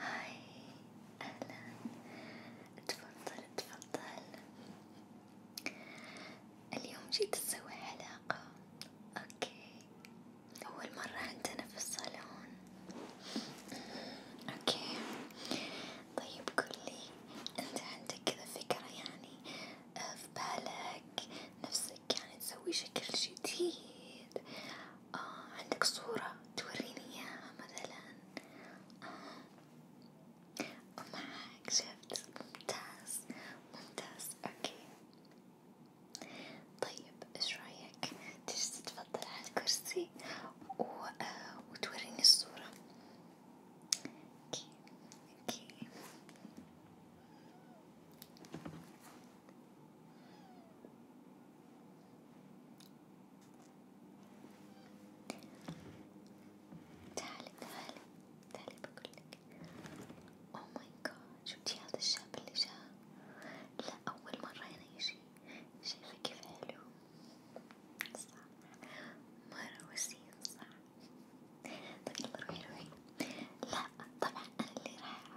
هاي أهلا تفضل تفضل اليوم جيت تسوي حلاقة اوكي أول مرة عندنا في الصالون أمم، اوكي طيب قولي انت عندك كذا فكرة يعني آه، في بالك نفسك يعني تسوي شكل جديد آه عندك صورة توريني إياها مثلا آه معك شفت ممتاز ممتاز أوكي طيب إيش رأيك تجلس تفضل على الكرسي و... آه وتوريني الصورة أوكي أوكي تعالي تعالي تعالي بقولك أوه ماي جاد شفتي هذا الشاب اللي جاء لا أول مرة هنا يجي شايفة كيف حلو صح مرة وسيم صح طيب يلا روحي روحي لا طبعا أنا اللي راح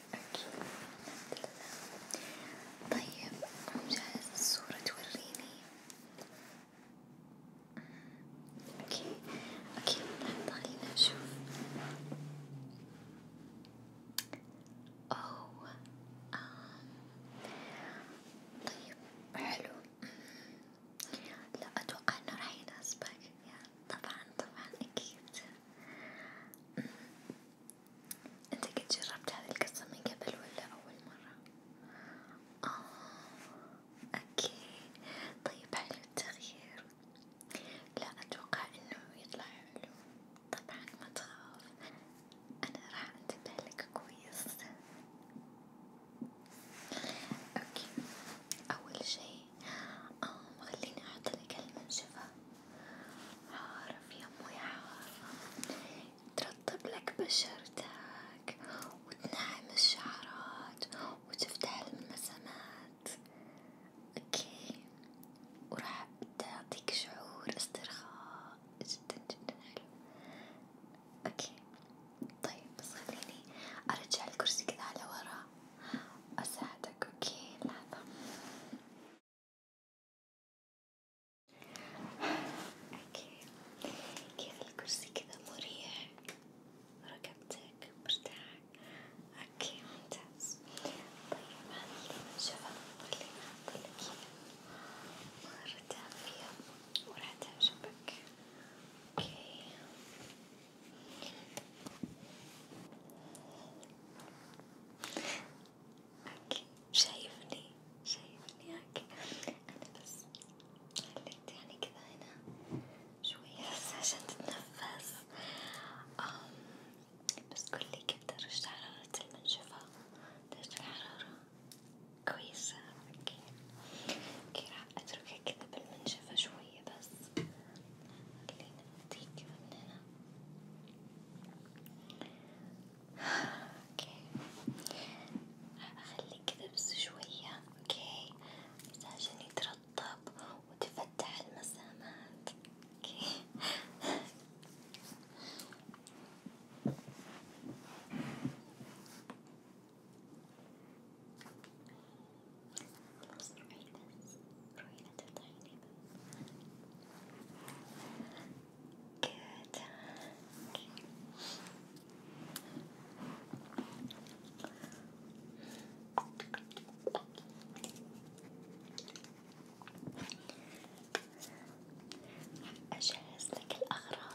أكيد الحمد لله طيب جاهز الصورة توريني أوكي أوكي لحظة خلينا نشوف أوه آه. طيب حلو لا أتوقع إنه راح يناسبك يعني طبعا طبعا أكيد انت قد جربت هذه القصة من قبل ولا أول مرة؟ آه أوكي طيب حلو التغيير لا أتوقع إنه يطلع حلو طبعا ما تخاف أنا راح أنتبه لك كويس أوكي أول شي آه خليني أحط لك المنشفة عارف يا أمي عارف ترطب لك بشرتك وتنعم الشعرات وتفتح الملمسات اوكي وراح تعطيك شعور استرخاء جدا جدا حلو اوكي طيب بس خليني ارجع الكرسي كذا على ورا اساعدك اوكي لحظة اوكي كيف الكرسي كذا مريح ركبتك مرتاح اوكي ممتاز طيب هذه اللي بنشوفها واللي بحطلك اياها مرة دافية وراح تعجبك اوكي اوكي شايفني شايفني اوكي انا بس خليت يعني كذا هنا شوية بس عشان تتنفس بس قولي كيف درجة حرارة المنشفة درجة الحرارة كويسة اوكي اوكي راح اتركها كذا بالمنشفة شوية بس خلينا نديك من هنا اوكي اخليه كذا بس شوية اوكي بس عشان يترطب وتفتح المسامات اوكي خلاص روحي بس روحي لا تفتحيلي باب good راح أجهز لك الأغراض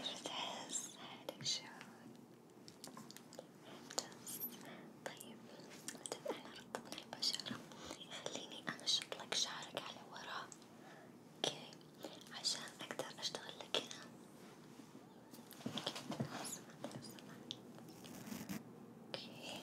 كيف تحس حالك شعور؟ ممتاز، طيب مادام احنا رطبنا البشرة خليني أنشط لك شعرك على ورا، أوكي عشان أقدر أشتغل لك هنا، أوكي، لو سمحت لو سمحت، أوكي.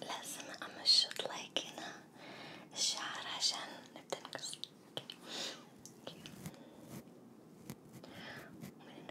لازم أمشط لايك هنا الشعر عشان نبدأ نقص ومن هنا كمان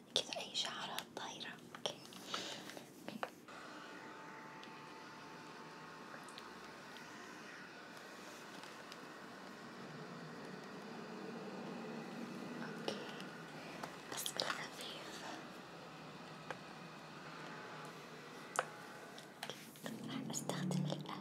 كذا أي شعرات طايرة أوكي أوكي أوكي بس بالخفيف طيب، راح أستخدم الآلة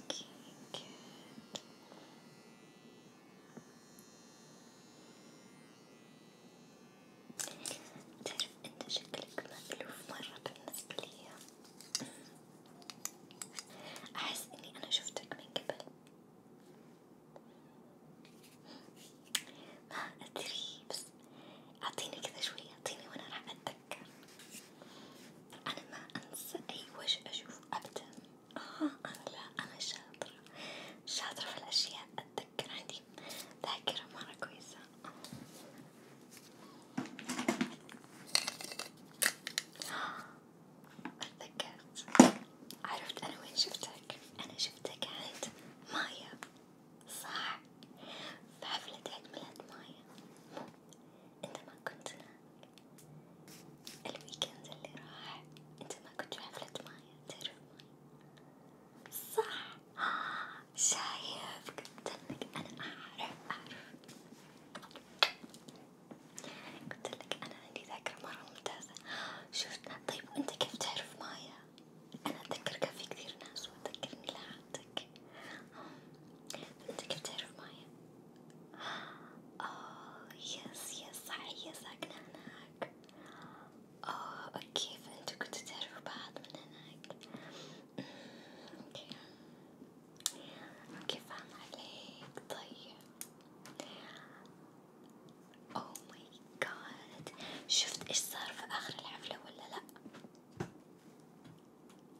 Okay, good. تعرف انت شكلك مألوف مرة بالنسبة لي احس اني انا شفتك من قبل ما ادري بس اعطيني كذا شوي اعطيني وانا راح اتذكر أتذكر أنا ما أنسى أي وجه أشوفه أبدا آه أنا لا أنا شاطرة شاطرة في الأشياء أتذكر عندي ذاكرة مرة كويسة آه، تذكرت عرفت أنا وين شفتك أنا شفتك عند مايا صح في حفلة عيد ميلاد مايا مو انت ما كنت الويكند اللي راح انت ما كنت حفلة مايا تعرف مايا صح آه شايف قلت لك انا اعرف اعرف قلت لك انا عندي ذاكرة مرة ممتازة شفت طيب وانت كيف تعرف مايا؟ انا اتذكر كان في كثير ناس واتذكر ميلادك انت كيف تعرف مايا؟ اوه يس يس صحيح ساكنة هناك اوه اوكي فانتوا كنتوا تعرفوا بعض من هناك اوكي اوكي فاهم عليك طيب اوه ماي جاد شفت ايش صار في اخر الحفلة ولا لا؟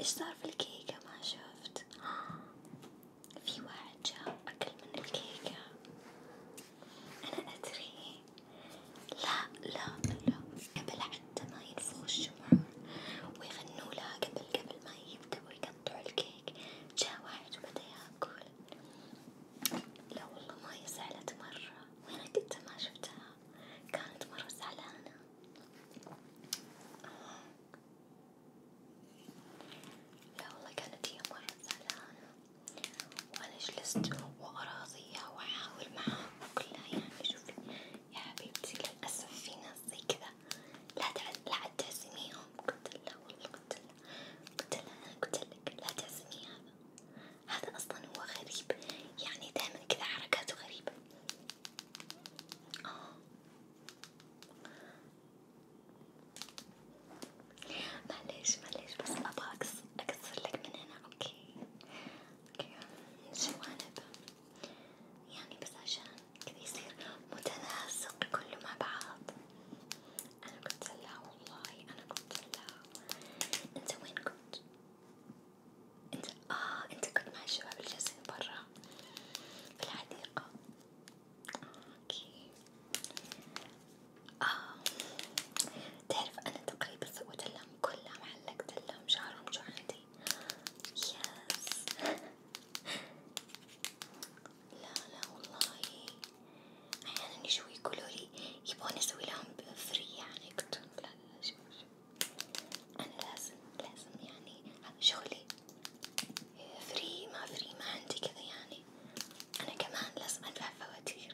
ايش صار في الكيكة ما شفت في واحد جاء أكل من الكيكة أنا أدري لا لا لا قبل حتى ما ينفخوا الشموع ويغنوا لها قبل قبل ما يبدأوا يقطعوا الكيك جاء واحد وبدأ ياكل لا والله ما هي زعلت مرة وأنا كنت ما شفتها كانت مرة زعلانة لا والله كانت هي واحد زعلانة وأنا جلست وأراضيها وأحاول معاها وكلها يعني شوفي يا حبيبتي للأسف في ناس زي كذا لا تعز لا تعزميهم قلت لا والله قلت لا قلت لا أنا قلت لك لا تعزمي هذا هذا أصلا هو غريب يعني دايما كذا حركاته غريبة معليش معليش بس ابغى اكسر لك من هنا اوكي اوكي من جوانب يعني بس عشان كذا يصير متناسق كله مع بعض انا قلت لها والله انا قلت لها انت وين كنت؟ انت اه انت كنت مع الشباب اللي جالسين برا في الحديقة اوكي آه. تعرف انا تقريبا سويت لهم كلهم علقت لهم شعرهم جعدي يس لا لا والله احيانا يجوا يقولولي يبغون اسوي لهم فري يعني قلتلهم لا لا شوف شوف أنا لازم لازم يعني هذا شغلي فري إيه، ما فري ما عندي كذا يعني أنا كمان لازم أدفع فواتيري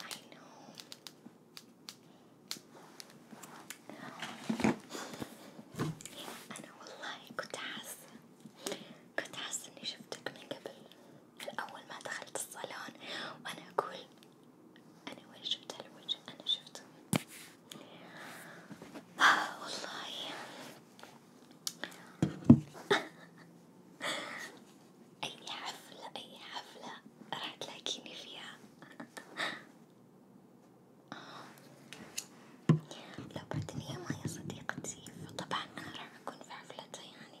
I know أنا والله كنت حاسة كنت حاسة إني شفتك من قبل من أول ما دخلت الصالون وأنا أقول أنا وين شفت هالوجه أنا شفته آه والله أي حفلة أي حفلة راح تلاقيني فيها لو بدني ما يا صديقتي فطبعا أنا راح أكون في حفلتها يعني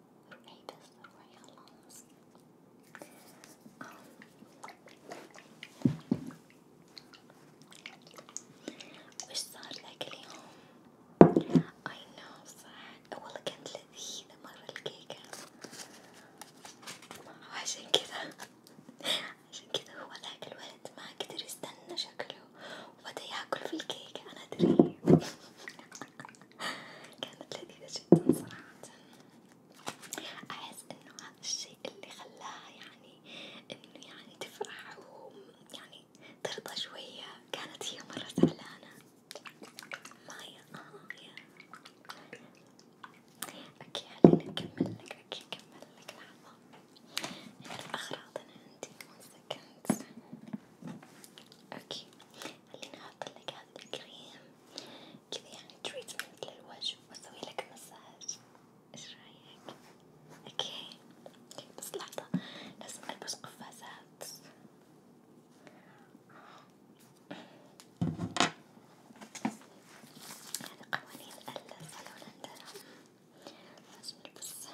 made us the crayons. Um. وش صار ذاك اليوم؟ I know sad والله كانت لذيذة مرة الكيكة عشان كذا عشان كذا هو ذاك الولد ما قدر يستنى شكله وبدا ياكل في الكيكة أنا أدري كانت لذيذة جدا صراحة أحس إنه هذا الشيء اللي خلاها يعني إنه يعني تفرح ويعني ترضى شوية كانت هي مرة زعلانة مايا آه يا أوكي خليني أكمل لك أوكي أكمل لك لحظة نعرف أغراضنا عندي one second أوكي خليني أحطلك هذا الكريم كذا يعني تريتمنت للوجه وأسوي لك مساج، إيش رأيك؟ أوكي بس لحظة لازم ألبس قفازات. هذا قوانين الصالون عندنا لازم نلبسها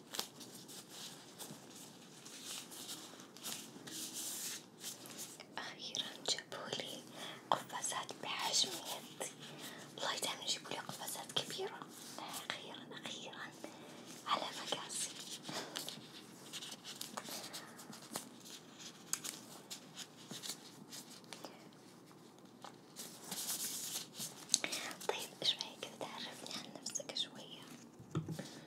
أخيرا جابولي قفازات بحجم يدي والله دايما يجيبولي قفازات كبيرة أخيرا أخيرا على مقاسي طيب ايش رايك تعرفني عن نفسك شوية؟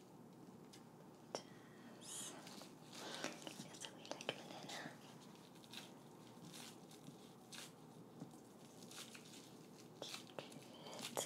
does it feels a bit like banana? Good. Good.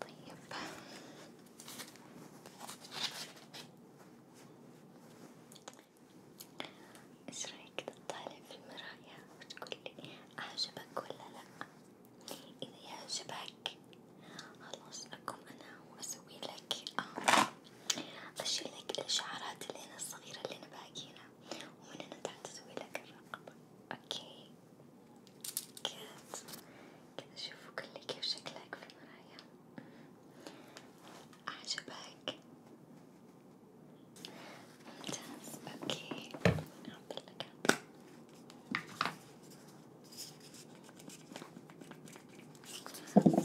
طيب ايش رايك تطالع في المراية وتقولي أعجبك ولا لأ؟ إذا يعجبك خلاص أقوم أنا وأسوي لك آه، أشيل لك الشعرات اللي أنا الصغيرة اللي أنا باقينا ومن هنا تحت أسوي لك الرقبة، أوكي؟ كات كده شوفوا كل كيف شكلك في المرايا أعجبك ممتاز اوكي أعطيلك من هنا اوكي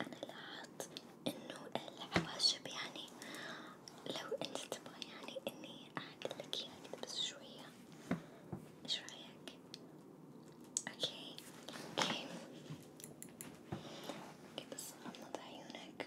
أنا لاحظت إنه الحواشب يعني لو أنت تبغى يعني إني أعدل لك إياها يعني كذا بس شوية، إيش رأيك؟ أوكي أوكي أوكي بس غمض عيونك.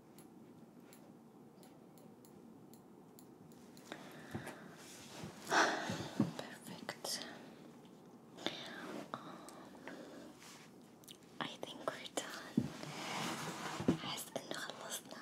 Perfect. Um, I think we're done. أحس إنه خلصنا.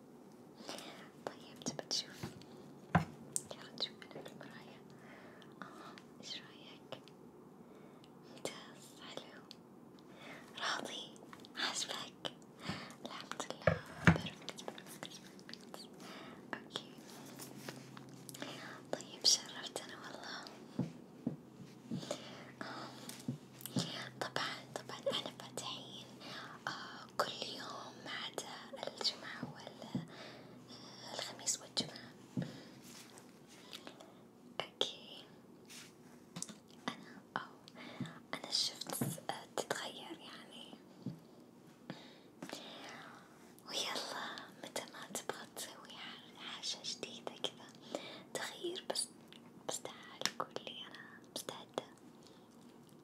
طيب تبى تشوف يلا تشوف أنا في المراية آه إيش رأيك؟ ممتاز حلو راضي عاجبك الحمد لله بيرفكت بيرفكت بيرفكت أوكي طيب شرفتنا والله آه، طبعا طبعا أنا فاتحين آه كل يوم ما عدا الجمعة والخميس والجمعة أوكي أنا أو أنا شفت آه، تتغير يعني ويلا متى ما تبغى تسوي حاجة جديدة كذا تغيير بس بس تعال قولي أنا مستعدة